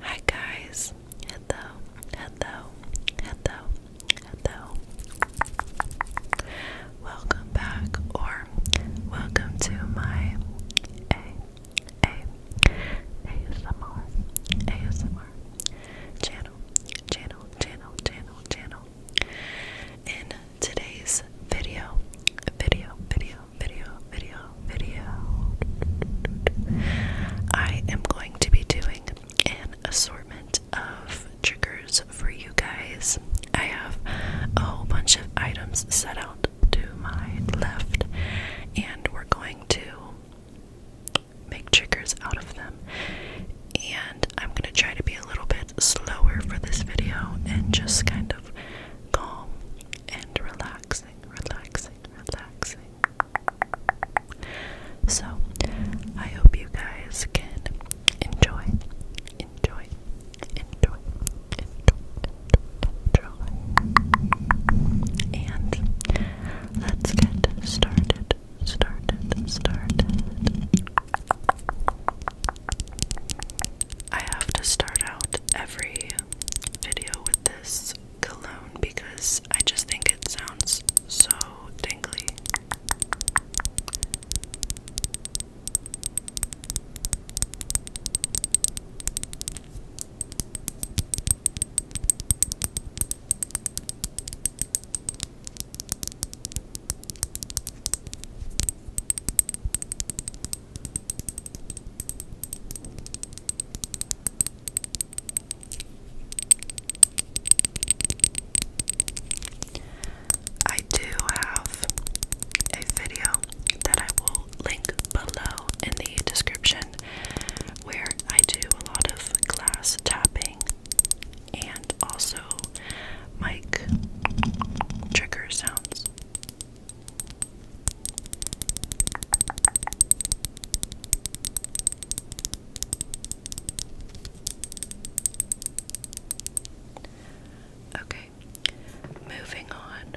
Hi guys, hello, hello, hello, hello. Welcome back, or welcome to my ASMR ASMR channel, channel, channel, channel, channel today's video. Video, video, video, video, video. I am going to be doing an assortment of triggers for you guys. I have a whole bunch of items set out to my left, and we're going to make triggers out of them. And I'm going to try to be a little bit slower for this video and just kind of calm and relaxing, relaxing, relaxing. So, I hope you guys can enjoy, enjoy, enjoy, enjoy, enjoy. And let's get started, started, started. I have to start out every video with this cologne because I just think it sounds so tingly. I do have a video that I will link below in the description where I do a lot of glass tapping and also mic trigger sounds. Okay, moving on.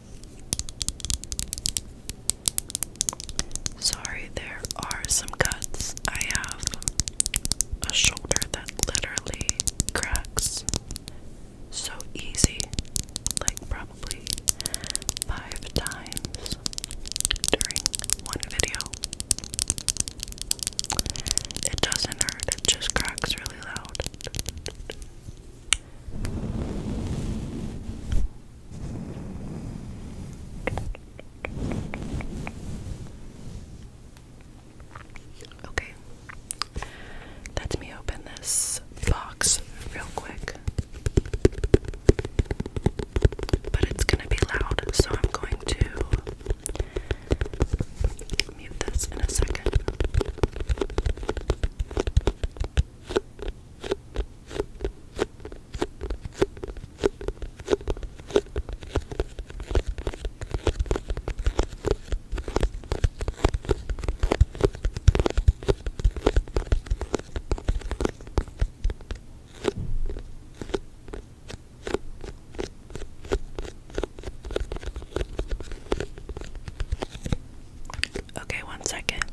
Sorry, there are some cuts. I have a shoulder that literally cracks so easy, like probably five times during one video. It doesn't hurt, it just cracks really loud. Okay, let me open this box real quick. But it's gonna be loud, so I'm going to mute this in a second. Okay, one second.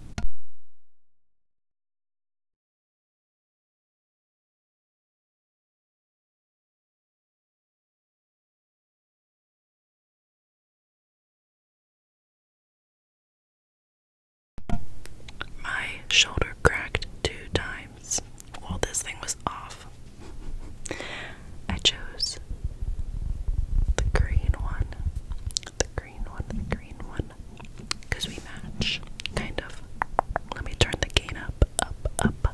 My shoulder cracked two times while this thing was off. I chose the green one the green one, the green one, because we match, kind of. Let me turn the gain up, up, up.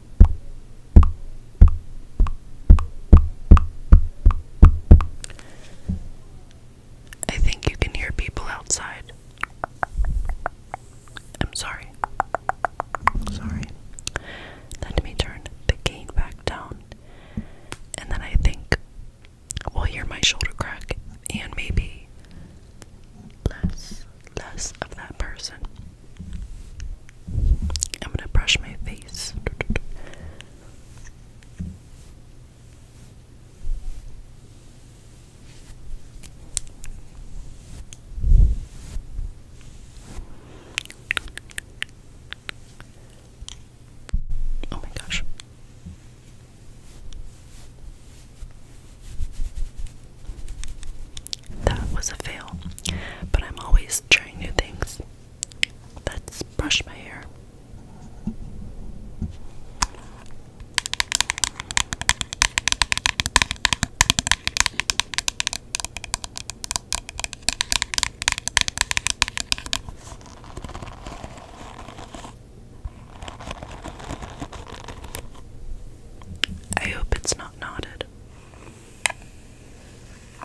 I think you can hear people outside. I'm sorry. Sorry. Let me turn the gain back down. And then I think we'll hear my shoulder crack and maybe less less of that person. I'm gonna brush my face. Oh, my gosh. That was a fail, but I'm always trying new things. Let's brush my hair. I hope it's not knotted.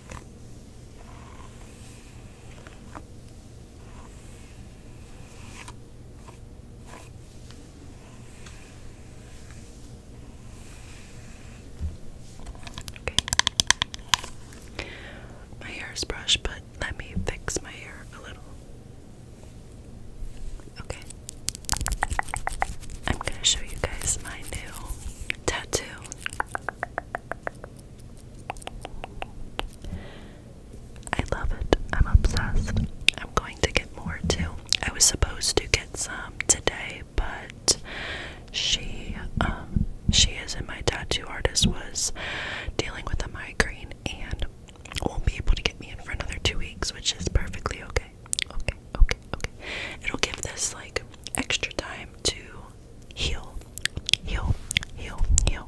Okay. My hair is brushed, but let me fix my hair a little. Okay. I'm going to show you guys my new tattoo. I love it. I'm obsessed. I'm going to get more too. I was supposed to get some today, but she um, she is and my tattoo artist was dealing with a migraine and won't be able to get me in for another two weeks, which is perfectly okay. Okay, okay, It'll give this like extra time to heal, heal, heal, heal.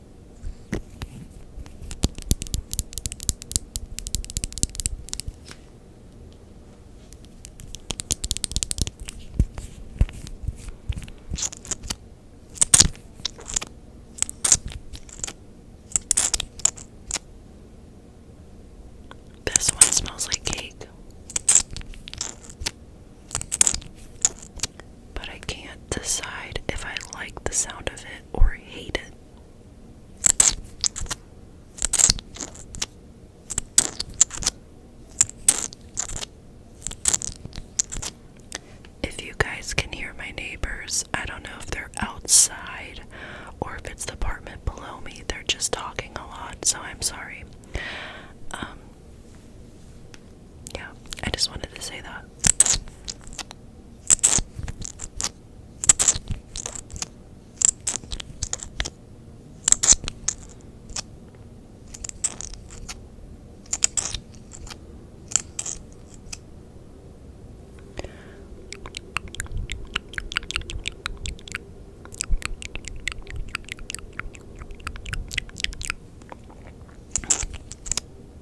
This one smells like cake but I can't decide if I like the sound of it or hate it. If you guys can hear my neighbors, I don't know if they're outside or if it's the apartment below me. They're just talking a lot, so I'm sorry. Um, yeah, I just wanted to say that.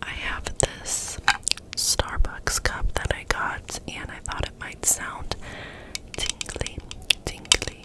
I have this Starbucks cup that I got, and I thought it might sound tingly, tingly.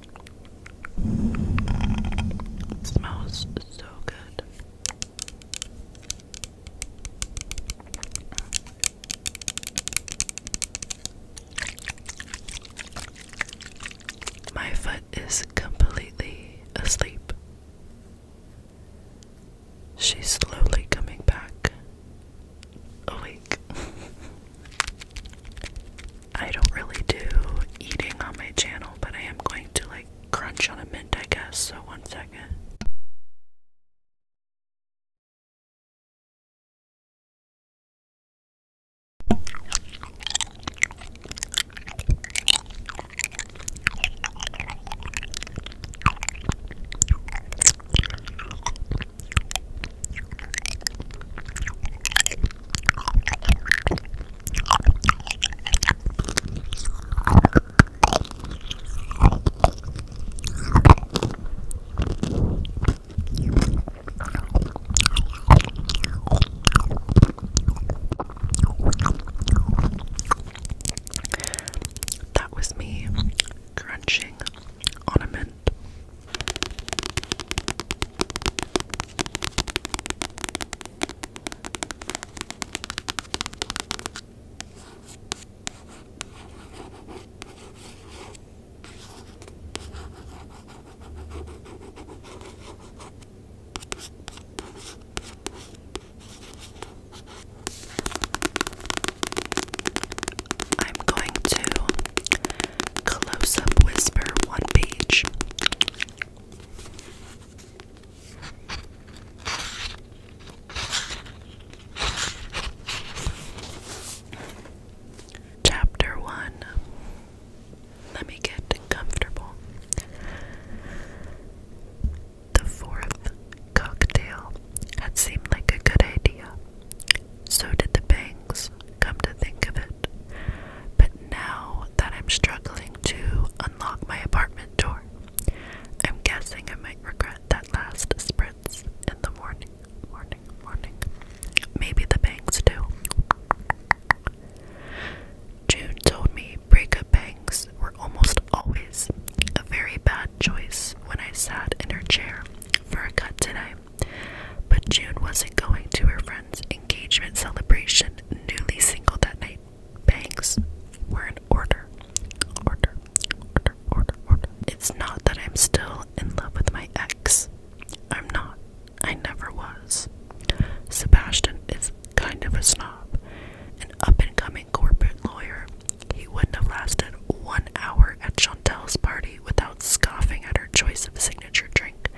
smells so good. My foot is completely asleep. She's slowly coming back awake. I don't really do eating on my channel, but I am going to like crunch on a mint, I guess. So, one second. That was me crunching on a mint. I'm going to close up whisper one page Chapter 1 Let me get comfortable. The fourth cocktail had seemed like a good idea. So did the bangs come to think of it. But now that I'm struggling to unlock my apartment door, I'm guessing I might regret that last spritz in the morning. Morning, morning. Maybe the banks do. June told me breakup bangs were almost always a very bad choice when I sat in her chair for a cut today. But June wasn't going to her friend's engagement celebration, newly single that night, bangs were in order. Order, order, order, order. It's not that I'm still in love with my ex. I'm not. I never was. Sebastian is kind of a snob, an up and coming corporate lawyer. He wouldn't have lasted one hour at Chantel's party without scoffing at her choice of signature drink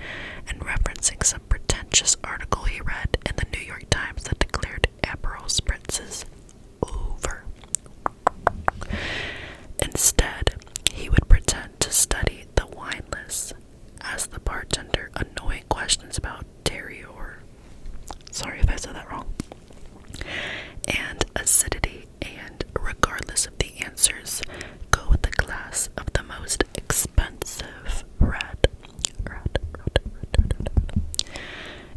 and referencing some pretentious article he read in the New York Times that declared Aperol spritzes over. Instead, he would pretend to study the wine list, ask the bartender annoying questions about terrier. Sorry if I said that wrong. And acidity, and regardless of the answers, go with the glass of the most expensive red. red.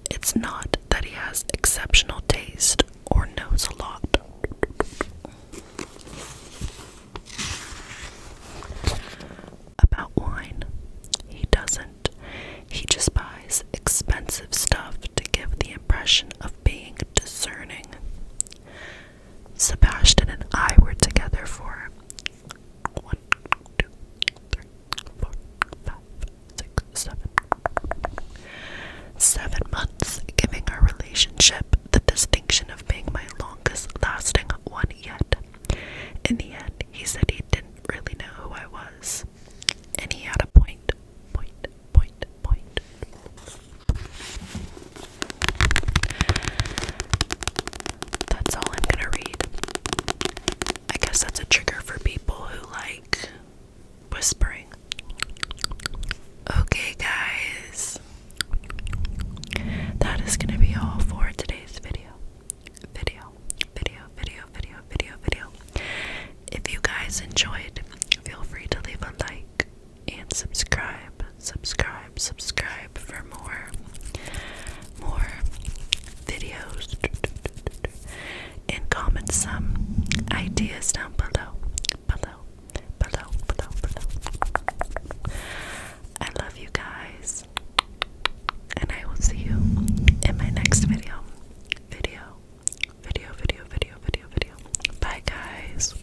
It's not that he has exceptional taste or knows a lot. About wine, he doesn't. He just buys expensive stuff to give the impression of being discerning. Sebastian and I were together for one, two, three, four, five, six, seven, seven months, giving our relationship the distinction of being my longest lasting one yet. In the end, he said he didn't really know who I was, and he had a point, point, point, point. That's all I'm gonna read. I guess that's a trigger for people who like whispering. Okay, guys, that is gonna be all for today's video. Video, video, video, video, video, video. If you guys enjoyed, feel free to leave a like and subscribe, subscribe, subscribe for more, more videos, and comment some ideas down below, below, below, below, below. I love you guys, and I will see you in my next video, video, video, video, video, video, video. Bye, guys.